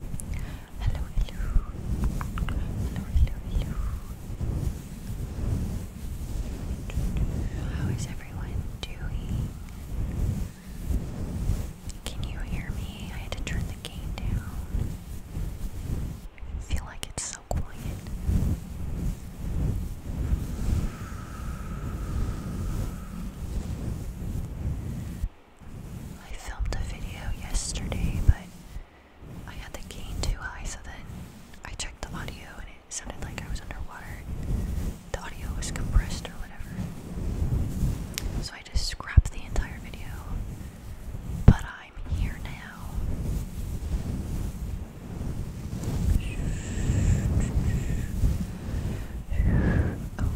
Hello, hello. Hello, hello, How is everyone doing? Can you hear me? I had to turn the game down. feel like it's so quiet. I filmed a video yesterday, but I had the gain too high, so then I checked the audio and it sounded like I was underwater. The audio was compressed or whatever. So I just scrapped the entire video. But I'm here now. Oh,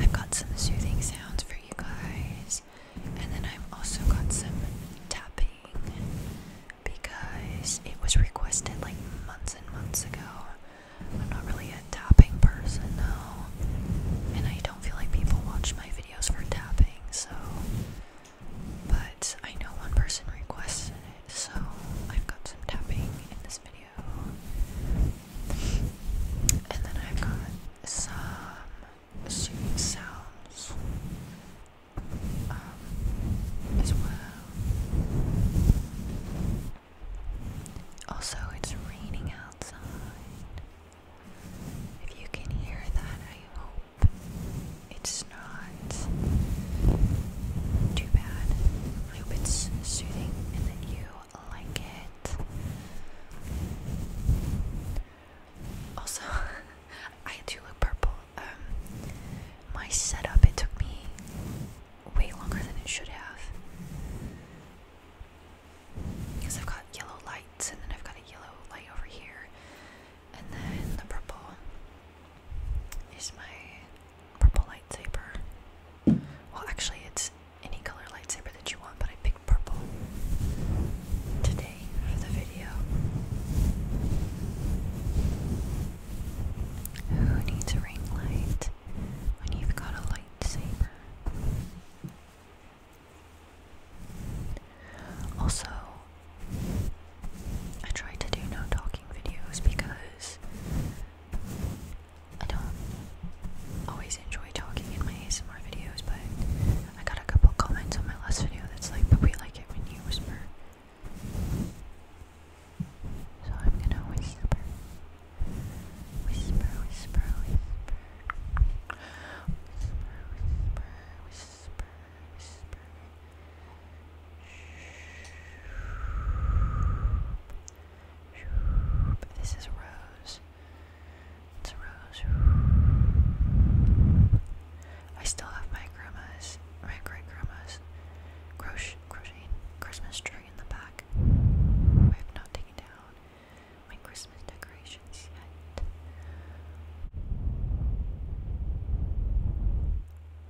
I've got some soothing sounds for you guys, and then I've also got some tapping because it was requested like months and months ago. I'm not really a tapping person though, and I don't feel like people watch my videos for tapping, so. But I know one person requested it, so I've got some tapping in this. And then i got some soothing sounds um, as well. Also, it's raining outside. If you can hear that, I hope it's not too bad. I hope it's soothing and that you like it. Also, I do look purple. Um, my setup, it took me way longer than it should have. Because I've got yellow lights, and then I've got a yellow light over here, and then the purple is my purple lightsaber. Well, actually, it's any color lightsaber that you want, but I picked purple today for the video. Who needs a ring light when you've got a lightsaber? Also, I try to do no talking videos because I don't always enjoy talking in my ASMR videos, but I got a couple comments on my last video that's like, but we like it when you whisper. So I'm gonna whisper. Whisper, whisper, whisper. Whisper, whisper, whisper, whisper. This is Rose. It's Rose. I still have my grandma's, my great grandma's crochet, crocheting Christmas tree in the back. I have not taken down my Christmas decorations yet.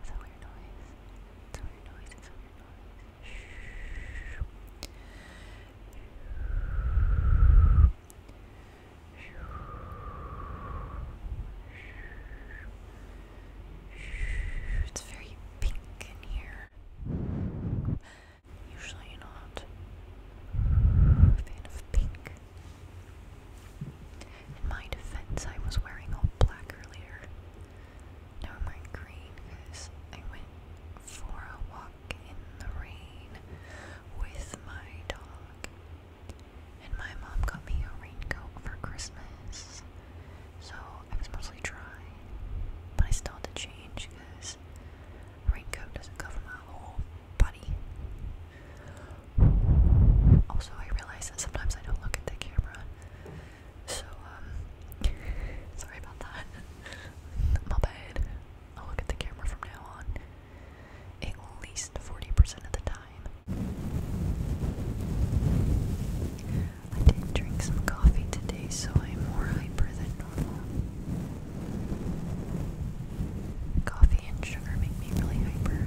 It's a weird noise. It's a weird noise. It's a weird noise. It's very pink in here. Usually not a fan of pink. In my defense, I was wearing all black earlier. Now I'm wearing green because I went for a walk walk in the rain with my dog. And my mom got me a raincoat for Christmas. So I was mostly dry. But I still had to change because raincoat doesn't cover my whole body. Also, I realize that sometimes I don't look at the camera. So, um, sorry about that. My bad. I'll look at the camera from now on at least 40% of the time. I did drink some coffee today, so I'm more hyper than normal. Coffee and sugar make me really hyper.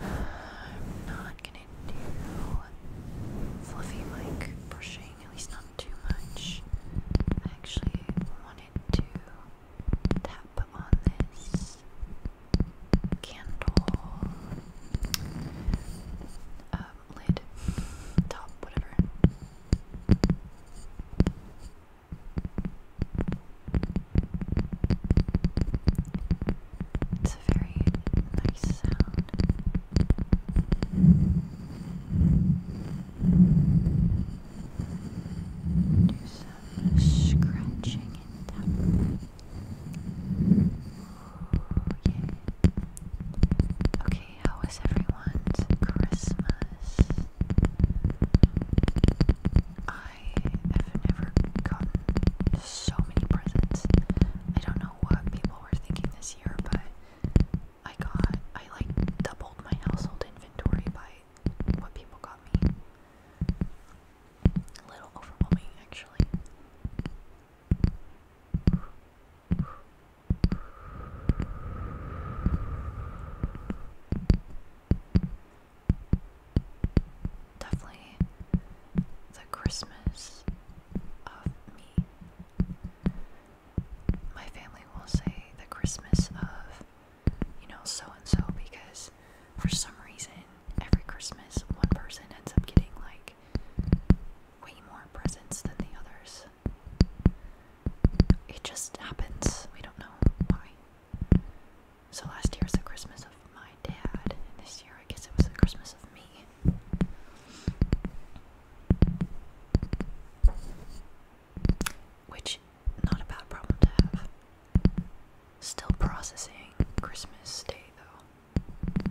I'm not gonna do fluffy like brushing, at least not too much. I actually wanted to tap on this candle uh, lid, top, whatever. It's a very nice sound. Do some scratching and oh, Okay, how was everyone's Christmas? have never gotten so many presents. I don't know what people were thinking this year, but I got, I like doubled my household inventory by what people got me. A little overwhelming, actually definitely the Christmas of me. My family will say the Christmas of, you know, so and so because for some reason every Christmas one person ends up getting like way more presents than the others. It just happens. We don't know why. So last year was the Christmas of my dad, and this year I guess it was the Christmas of me. Which, not a bad problem to have. Still processing Christmas Day though.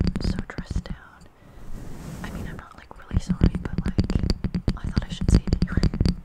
I'm so dressed down. I mean, I'm not like really sorry, but like, I thought I should say it anyway.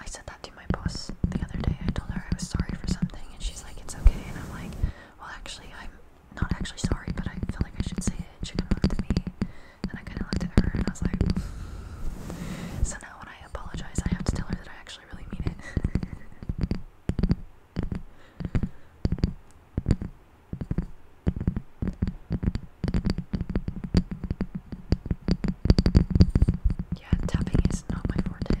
I said that to my boss the other day. I told her I was sorry for something, and she's like, it's okay. And I'm like, well, actually, I'm not actually sorry, but I feel like I should say it. She can look to me. And I kind of looked at her and I was like, so now when I apologize, I have to tell her that I actually really mean it. yeah, tapping is not my forte.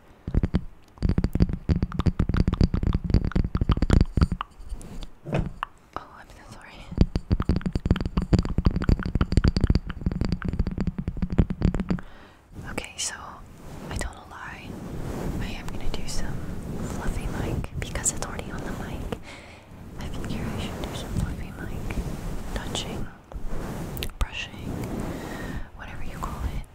Oh, I'm so sorry. Okay, so I don't lie. I am gonna do some fluffy mic because it's already on the mic. I figure I should do some fluffy mic touching, brushing, whatever you call it.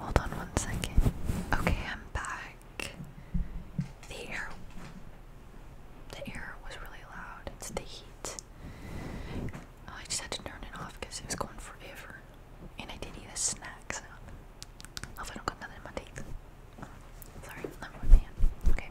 Hold on one second. Okay, I'm back. The air the air was really loud. It's the heat. Oh, I just had to turn it off because it was going forever. And I did eat a snack So, Hopefully I don't got nothing in my teeth. Sorry, let me hand. Okay.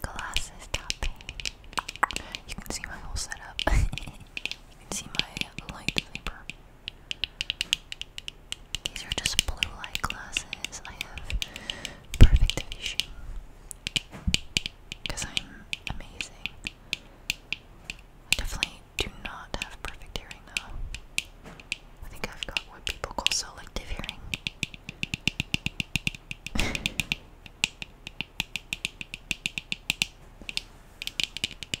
Glass is tapping. You can see my whole setup. you can see my lightsaber. These are just blue light glasses. I have perfect vision. Because I'm amazing. I definitely do not have perfect hearing though. I think I've got what people call selective hearing. This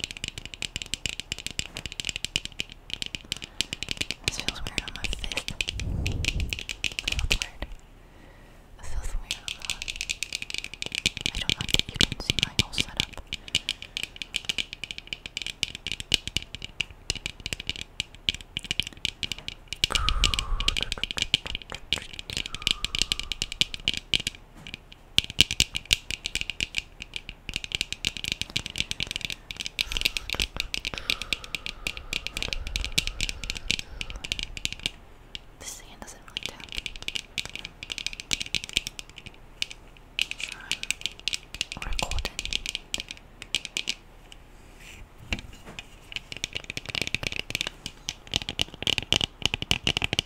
feels weird on my fist. That's weird. This feels weird on the. I don't like that you can see my whole setup. The sand doesn't really tap. Trying recording.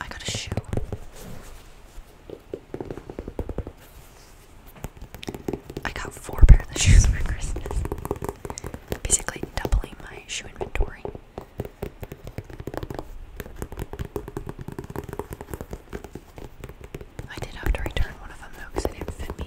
I got a shoe. I got four pairs of shoes for Christmas. Basically doubling my shoe inventory. I did have to return one of them though because it didn't fit me.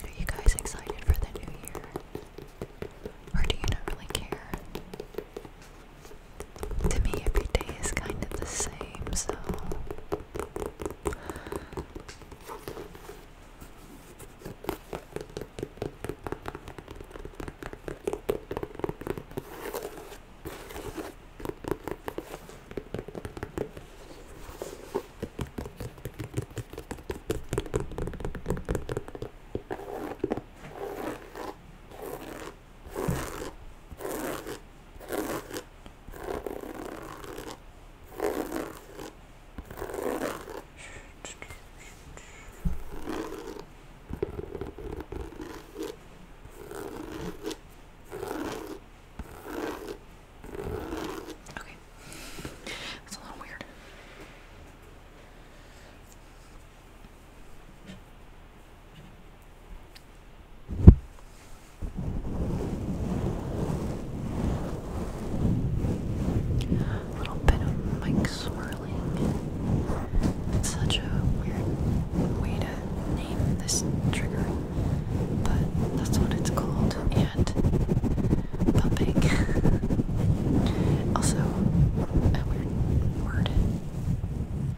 Are you guys excited for the new year? Or do you not really care? to me, every day is kind of the same, so. Okay. That's a little weird little bit of mic swirling. It's such a weird way to name this trigger, but that's what it's called, and pumping. also, a weird word.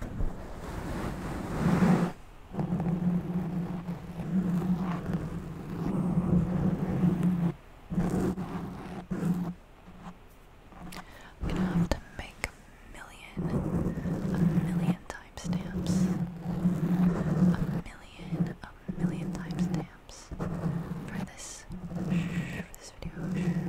I'm gonna have to make a million, a million timestamps. A million, a million timestamps for this, for this video.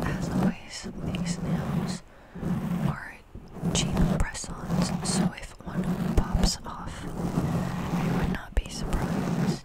As always, these nails are cheap press-ons, so if if one pops off, I would not be surprised.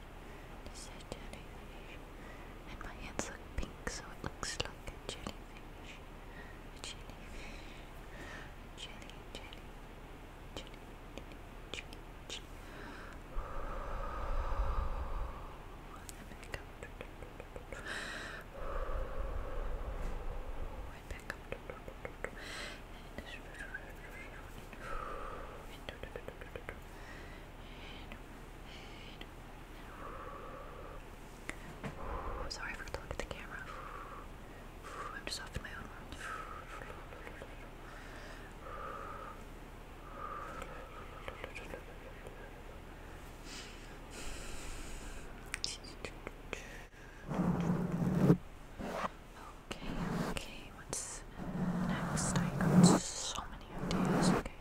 This is jellyfish. And my hands look pink, so it looks like a jellyfish. A jellyfish. Jelly, jelly. Jelly, jelly, jelly, jelly. And back up. And back up. And and and and Sorry, I forgot to look at the camera. I'm just off to my own world. Okay, okay, what's next? I got so many ideas. Okay.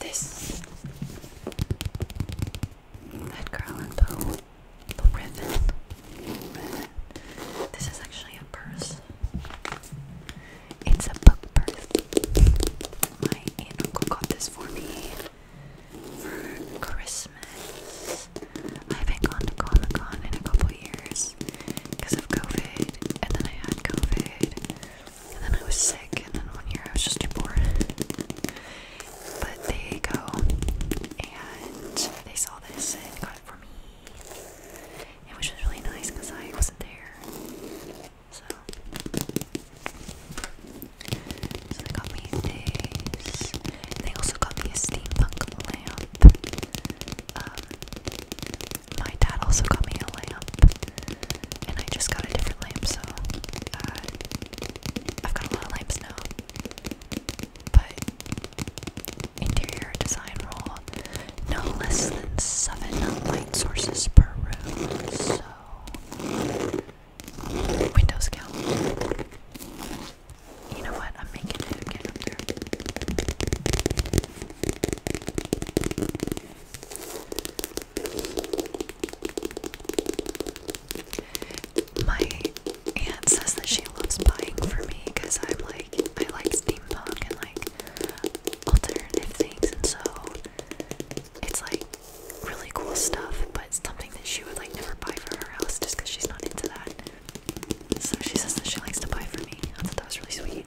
This that girl in the ribbon. This is actually a purse. It's a book purse. My and uncle got this for me for Christmas. I haven't gone to Comic Con in a couple years because of COVID, and then I had COVID, and then I was sick, and then one year I was just too bored. But they go and they saw this and got it for me, and which was really nice because I wasn't there. So, they got me this. They also got me steampunk lamp. Um, my dad also got me a lamp, and I just got a different lamp, so uh, I've got a lot of lamps now. But interior design rule: no less than seven light sources per room. So windows count. You know what? I'm making it. Get up there. My aunt says that she loves buying for me because I'm like, I like steampunk and like alternative things, and so it's like really cool stuff, but it's something that she would like never buy for her house just because she's not into that. So she says that she likes to buy for me. I thought that was really sweet.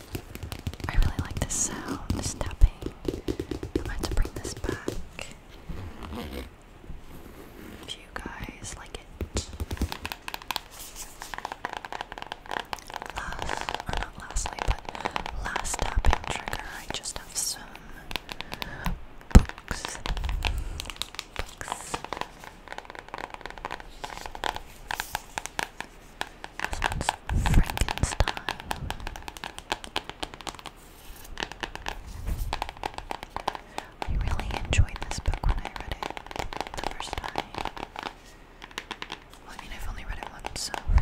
I really like this sound, this I'm going to bring this back. If you guys like it. Last, or not lastly, but last tapping trigger, I just have some Books. This one's Frankenstein. I really enjoyed this book when I read it the first time. I mean, I've only read it once, so. I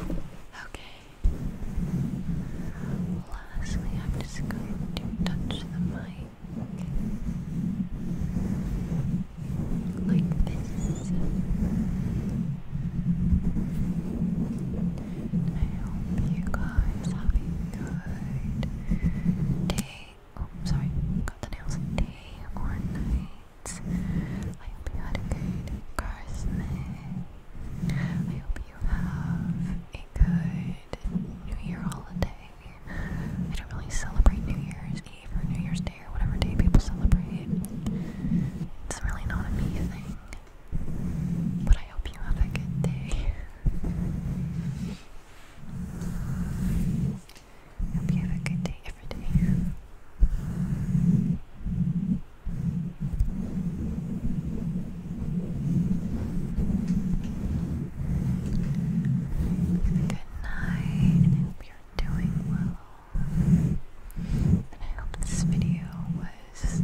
Okay. Okay. Lastly, I'm just going to touch the mic like this. I hope you guys have a good day, Oh, sorry, got the nails. Day or night. I hope you had a good Christmas. I hope you have a good New Year holiday. I don't really celebrate New Year's Eve or New Year's Day or whatever day people celebrate. It's really not a me thing. But I hope you have a good day. Hope you have a good day every day. Good night, I hope you're doing well. And I hope this video was,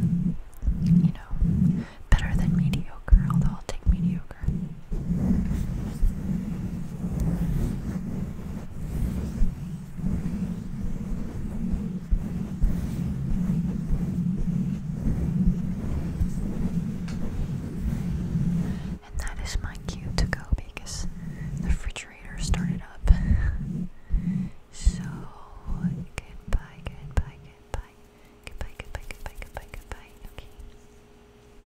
you know, better than mediocre, although I'll take mediocre. And that is my cue to go because the refrigerator started up. so goodbye, goodbye, goodbye. Goodbye, goodbye, goodbye, goodbye, goodbye. Okay.